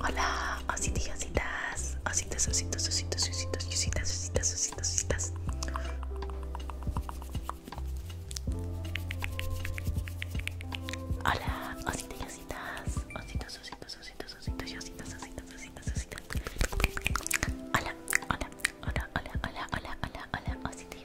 Hola, ositos, y ositas, Hola, Hola, hola, hola, hola, hola, hola, hola,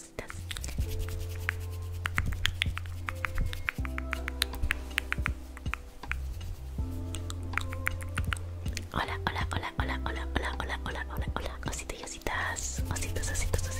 Hola, Hola, hola, hola, hola, hola, hola, hola, hola, hola, ositos, ositos, ositos,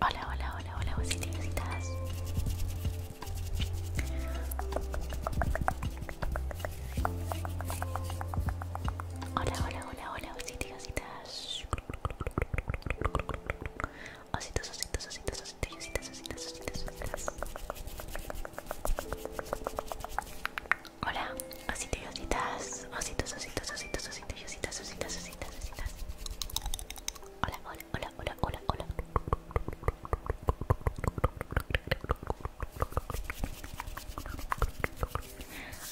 Hola, hola, hola, hola, ositos y Hola, hola, hola, hola, Ositos, ositos, ositos, ositos, ositos, Hola, ositos y ositas. Hola, hola, hola, hola, hola, hola.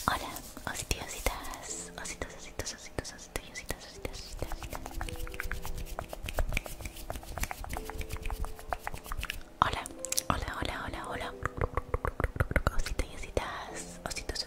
Hola, ositos, ositos, ositos, Hola, hola, hola, hola, ositos,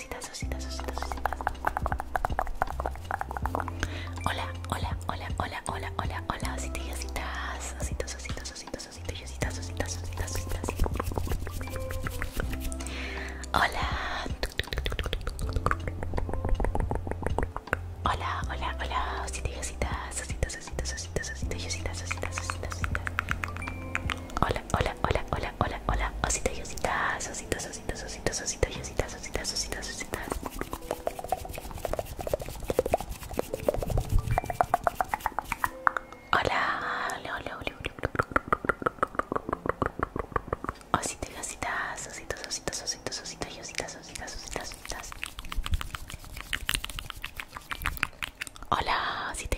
ositas, Hola, hola, hola, hola, hola, hola, hola, Hola. Hola, hola, hola, Hola, hola hola, hola, hola, hola, hola, y ositas, ositos, ositos, ositos, ositas, ositas, ositas, Hola, hola, hola, hola, y ositas, ositos, ositos, ositas, ositas, Hola, osito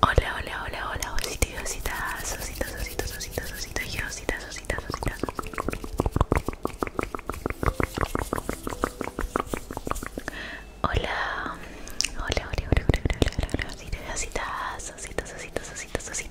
Hola, hola, hola, hola, Hola, hola, hola, hola, ositos ositos, ositos, ositos,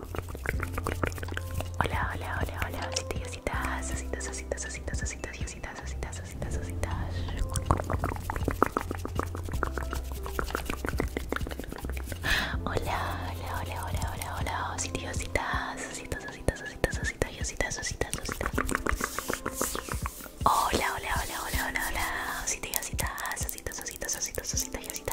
Hola, hola, hola, hola, hola, ositas, ositas, ositas, ositas, ositas, ositas, Hola, hola, hola, hola, hola, hola, ositas, ositas, ositas, ositas, hola, ositas, Hola, hola, hola, hola, hola, hola, ositas, ositas, ositas, ositas, hola, ositas.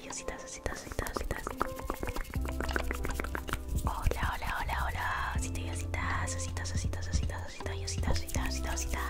Hola, hola, hola, hola. Osita